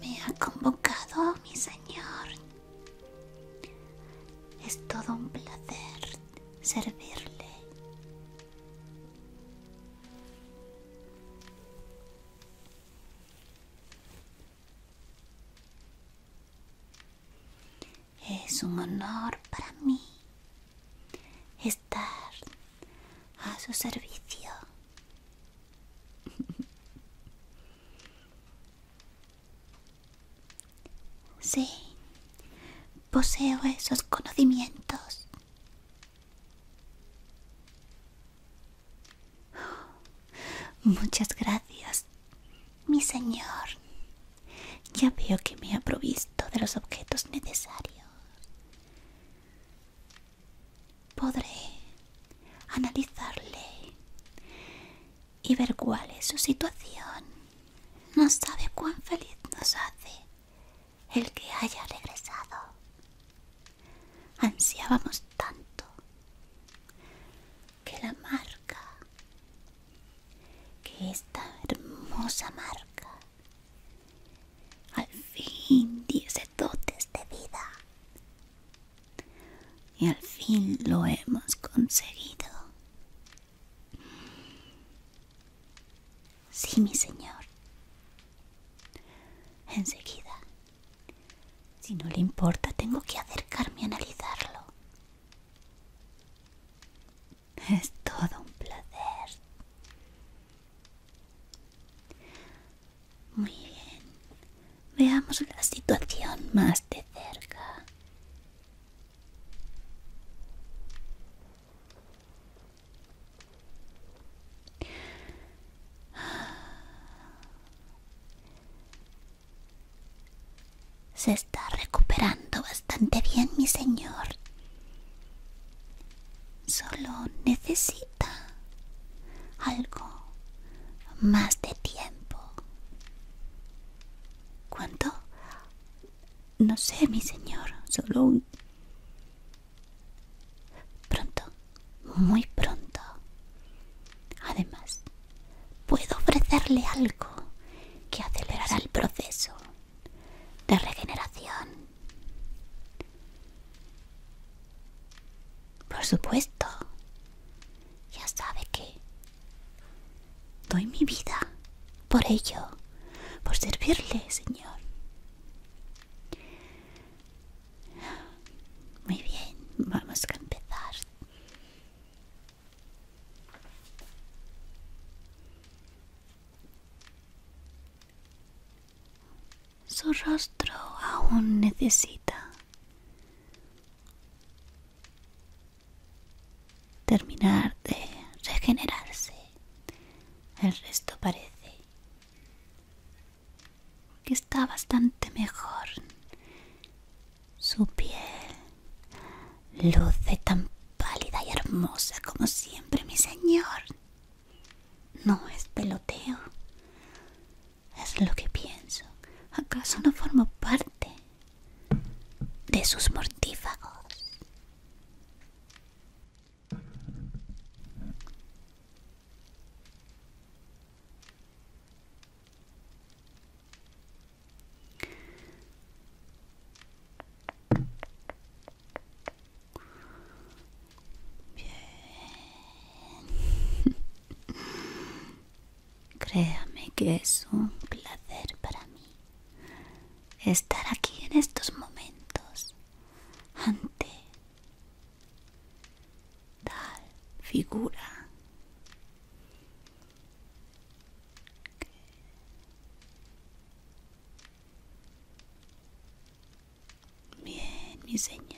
Me ha convocado mi señor. Es todo un placer servirle. Es un honor para mí estar a su servicio. Sí, poseo esos conocimientos. Muchas gracias, mi señor. Ya veo que me ha provisto de los objetos necesarios. Podré analizarle y ver cuál es su situación. No sabe cuán feliz nos hace el que haya regresado. Ansiábamos tanto que la marca, que esta hermosa marca, al fin diese dotes de vida. Y al fin lo hemos conseguido. Sí, mi señor. Enseguida. Si no le importa, tengo que acercarme a analizarlo. Es todo un placer. Muy bien. Veamos la situación más de cerca. Se está recuperando bastante bien, mi señor. Solo necesita algo más de tiempo. ¿Cuánto? No sé, mi señor, solo un... Pronto, muy pronto. Además, puedo ofrecerle algo que acelerará el proceso de regeneración. Por supuesto, ya sabe que Doy mi vida por ello, por servirle, Señor. Muy bien, vamos a empezar. Su rostro aún necesita terminar de regenerarse. El resto parece que está bastante mejor. Su piel luce tan pálida y hermosa como siempre, mi señor. No es peloteo. Es lo que pienso. ¿Acaso no formo parte de sus mortífagos. Bien. Créame que es un placer para mí estar aquí en estos momentos ante tal figura bien mi señor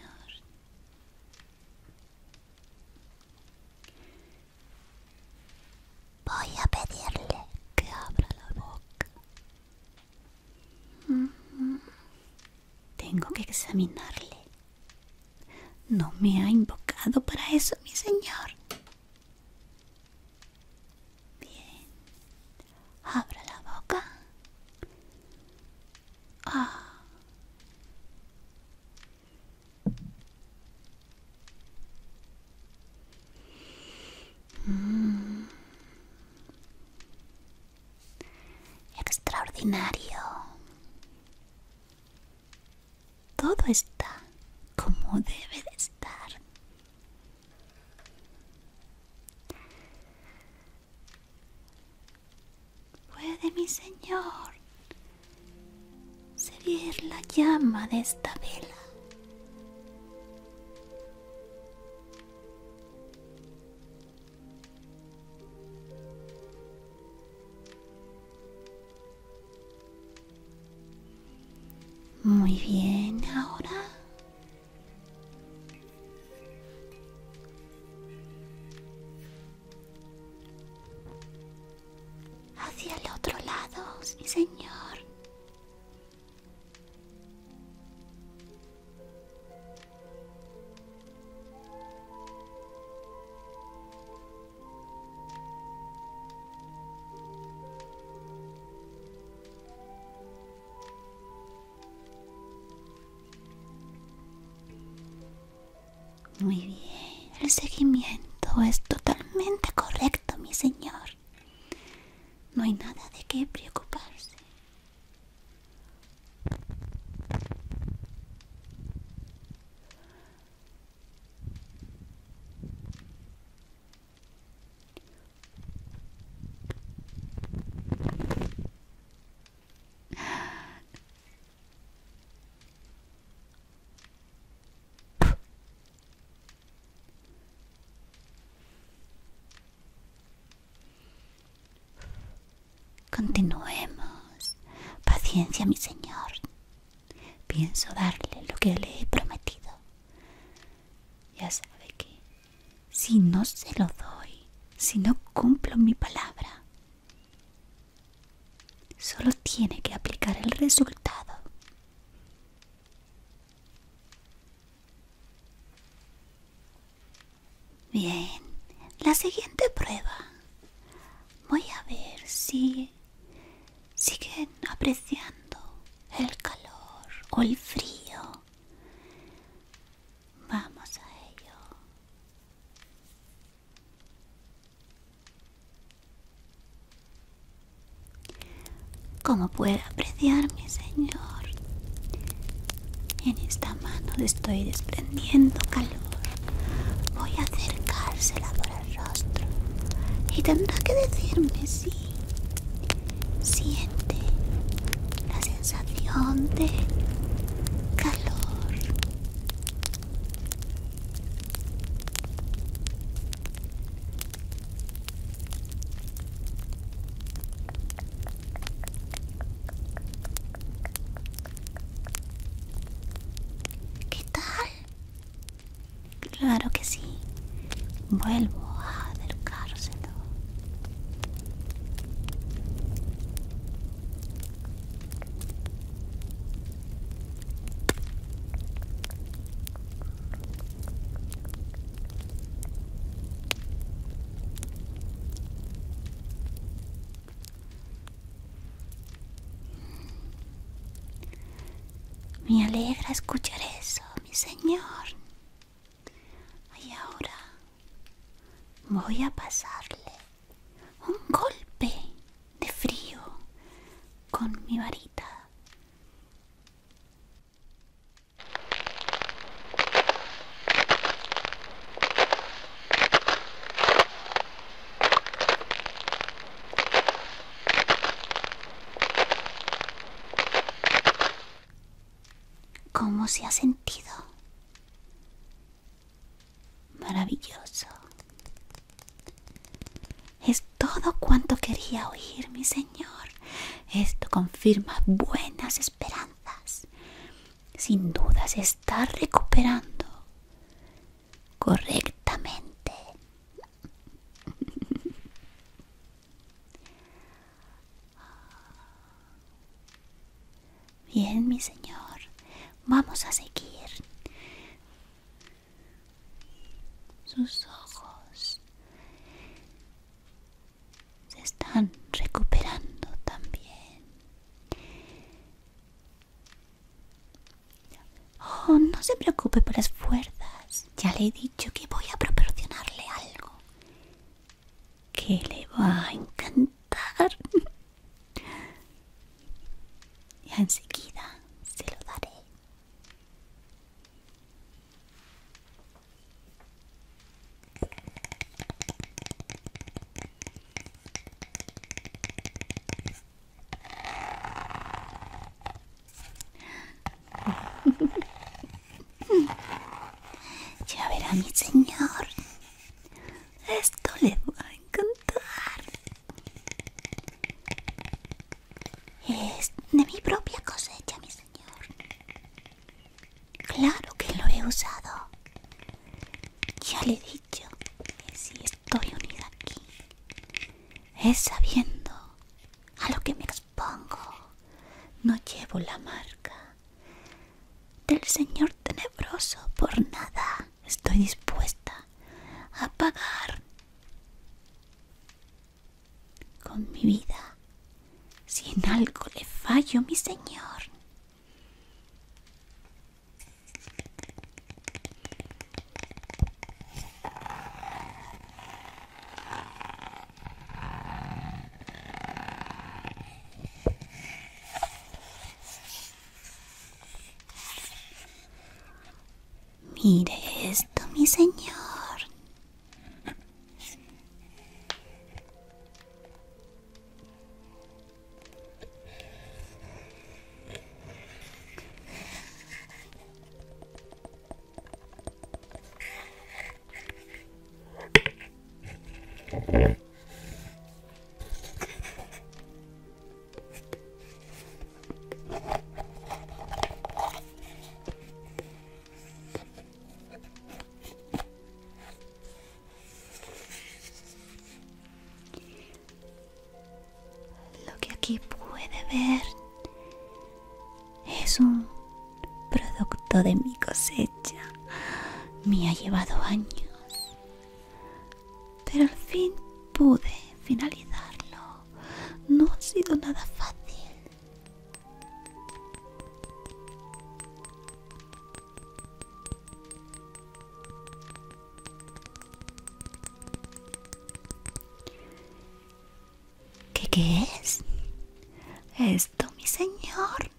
Voy a pedirle que abra la boca. Mm-hmm. Tengo que examinarle. No me ha invocado para eso, mi señor. Bien. Abra la boca. Ah. Mm. Extraordinario. Todo está como debe de estar. Puede mi señor ¿Se ve la llama de esta vela. Muy bien, ahora hacia el otro lado, sí señor. Muy bien, el seguimiento es totalmente correcto, mi señor. No hay nada de qué preocuparse. Continuemos. Paciencia, mi señor. Pienso darle lo que le he prometido. Ya sabe que si no se lo doy, si no cumplo mi palabra, solo tiene que aplicar el resultado. Bien, la siguiente prueba. Voy a ver si siguen apreciando el calor o el frío. Vamos a ello. Como puede apreciar mi señor, en esta mano le estoy desprendiendo calor. Voy a acercársela por el rostro y tendrá que decirme si siente la sensación de calor. ¿Qué tal? Claro que sí. Vuelvo a acercárselo. Me alegra escuchar eso, mi señor. Y ahora voy a pasarle un golpe de frío con mi varita ¿Cómo se ha sentido? Maravilloso. Es todo cuanto quería oír, mi señor. Esto confirma buenas esperanzas. Sin duda se está recuperando. Correctamente. Bien, mi señor. Vamos a seguir. Sus ojos se están recuperando también. Oh, no se preocupe por las fuerzas. Ya le he dicho que voy a proporcionarle algo que le va a encantar. Y enseguida se lo daré. Ya verá mi señor. Esto le va a encantar. Es de mi propia cosecha, mi señor. Claro que lo he usado. Ya le he dicho que si estoy unida aquí, es sabiendo a lo que me expongo. No llevo la marca del señor tenebroso por nada. Estoy dispuesta a pagar con mi vida si en algo le fallo mi señor Mire esto, mi señor. Lo que aquí puede ver es un producto de mi cosecha. Me ha llevado años, pero al fin pude finalizarlo no, ha sido nada fácil. ¿Qué, es? Esto, mi señor,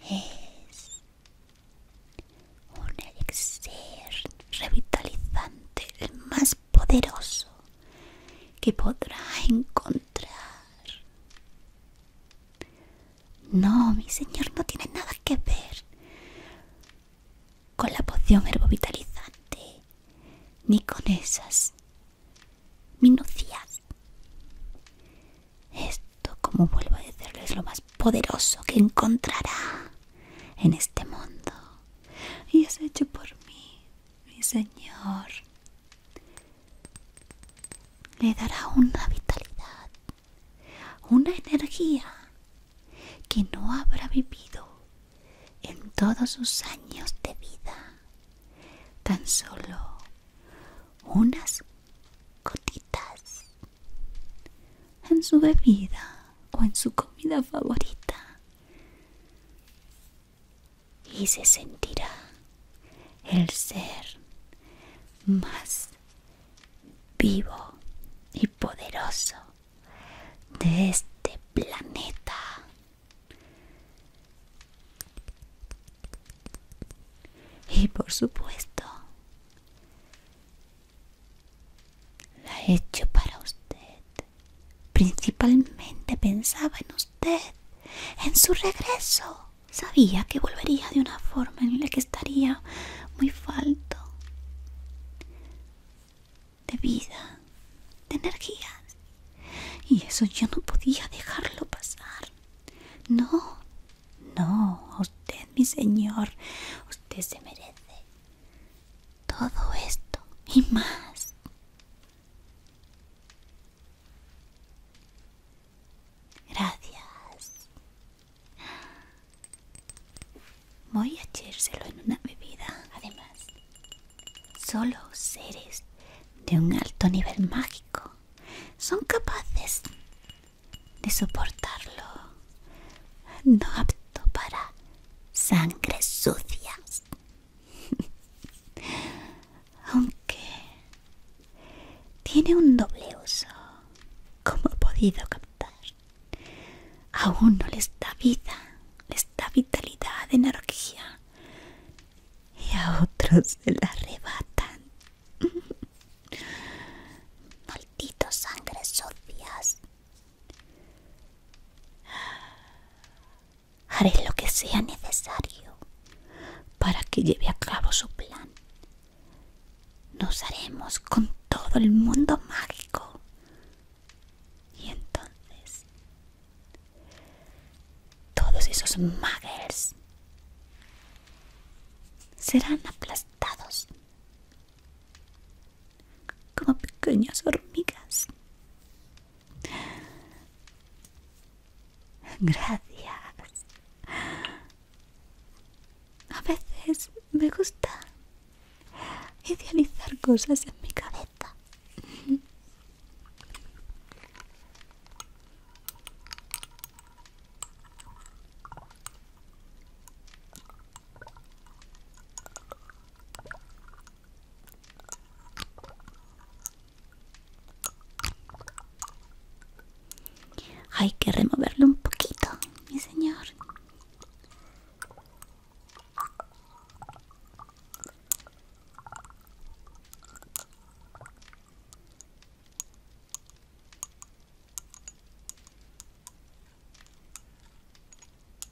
es un elixir revitalizante, el más poderoso que podrá encontrar. No, mi señor, no tiene nada que ver con la poción herbovitalizante ni con esas minucias. Esto, como vuelvo a decirlo, es lo más poderoso que encontrará en este mundo y es hecho por mí, mi Señor. Le dará una vitalidad, una energía que no habrá vivido en todos sus años de vida. Tan solo unas gotitas en su bebida o en su comida favorita y se sentirá el ser más vivo y poderoso de este planeta. Y por supuesto, la he hecho para usted. Principalmente pensaba en usted, en su regreso. Sabía que volvería de una forma en la que estaría muy falto de vida, de energías. Y eso yo no podía dejarlo pasar. No, no, usted, mi señor, usted se merece todo esto y más. Gracias. Voy a echárselo en una bebida. Además, solo seres de un alto nivel mágico son capaces de soportarlo. No para sangres sucias. Aunque tiene un doble uso, como he podido captar. A uno les da vida, les da vitalidad, energía, y a otros se la arrebatan. Malditos sangre sucias, Haré lo que sea necesario para que lleve a cabo su plan. Nos haremos con todo el mundo mágico. Y entonces todos esos muggles serán aplastados como pequeñas hormigas. Gracias. A veces me gusta idealizar cosas en mi cabeza. Hay que removerlo un poquito, mi señor.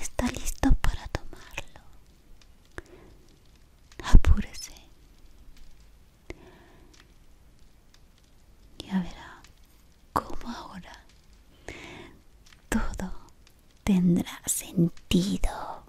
Está listo para tomarlo. Apúrese. Ya verá cómo ahora todo tendrá sentido.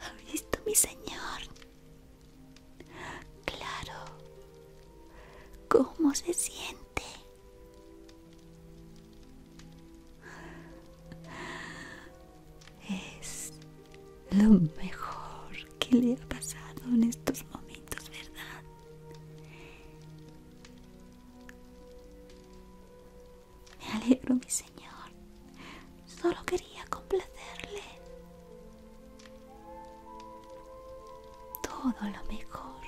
¿Ha visto mi señor? Claro. ¿Cómo se siente? Es lo mejor que le ha pasado en estos momentos, ¿verdad? Me alegro, mi señor. Solo quería complacerle. Todo lo mejor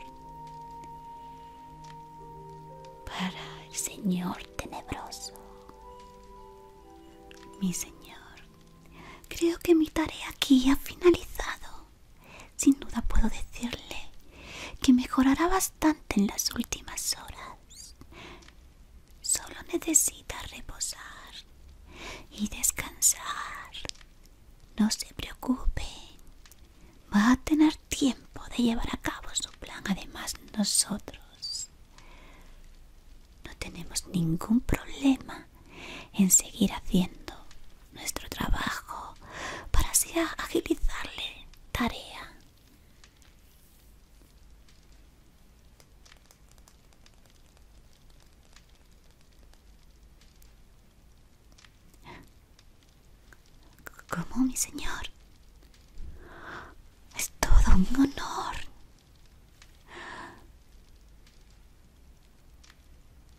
para el señor tenebroso. Mi señor, creo que mi tarea aquí ha finalizado. Sin duda puedo decirle que mejorará bastante en las últimas horas. Solo necesita reposar y descansar. No se preocupe, va a tener tiempo de llevar a cabo su plan. Además, nosotros no tenemos ningún problema en seguir haciendo nuestro trabajo para así agilizarle tarea. ¿Cómo, mi señor? Es todo un honor.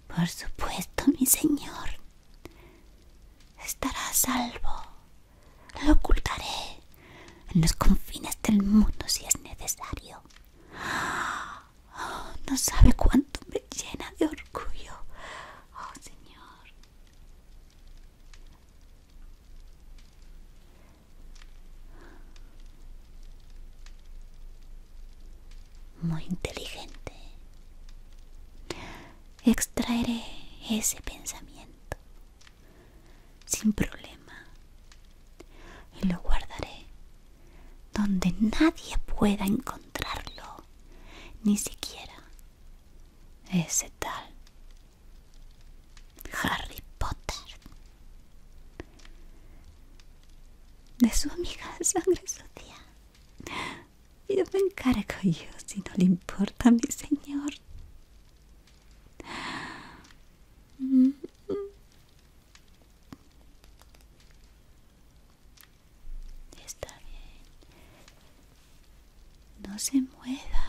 Por supuesto, mi señor. Estará a salvo. Lo ocultaré en los confines del mundo si es necesario. Oh, no sabe cuánto me llena de orgullo. Oh, señor. Muy inteligente. Extraeré ese pensamiento sin problema y lo guardaré donde nadie pueda encontrarlo, ni siquiera ese tal Harry Potter. De su amiga sangre sucia. Yo me encargo yo si no le importa mi señor. Está bien. No se mueva.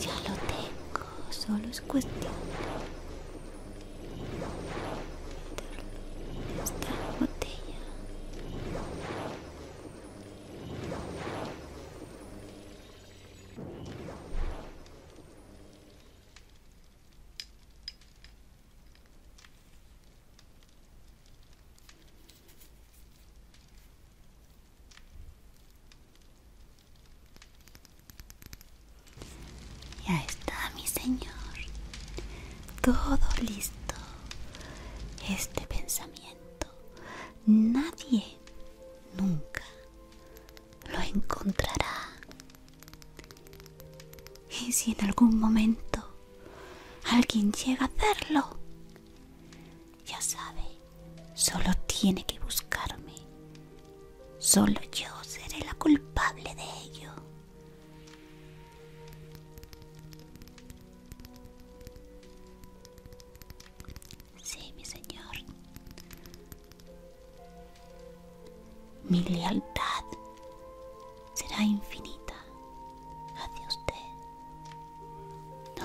Ya lo tengo, solo es cuestión de esta botella. Ya está, mi señor. Todo listo. Este pensamiento nadie nunca lo encontrará. Y si en algún momento alguien llega a hacerlo, ya sabe, solo tiene que buscarme. Solo yo seré la culpable de ello. Sí, mi señor. Mi lealtad será infinita hacia usted.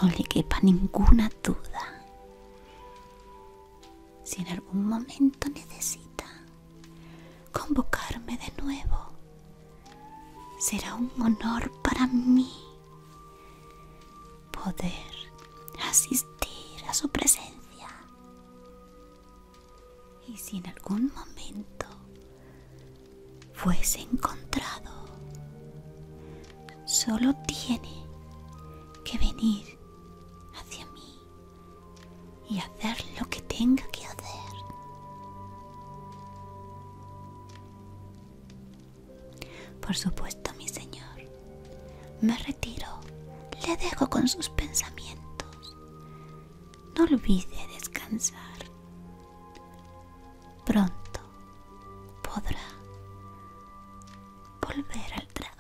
No le quepa ninguna duda. Si en algún momento necesita convocarme de nuevo, será un honor para mí poder asistir a su presencia. Y si en algún momento fuese encontrado, solo tiene que venir hacia mí y hacer lo que tenga que hacer. Por supuesto, mi señor. Me retiro, le dejo con sus pensamientos. No olvide descansar pronto podrá volver al trabajo.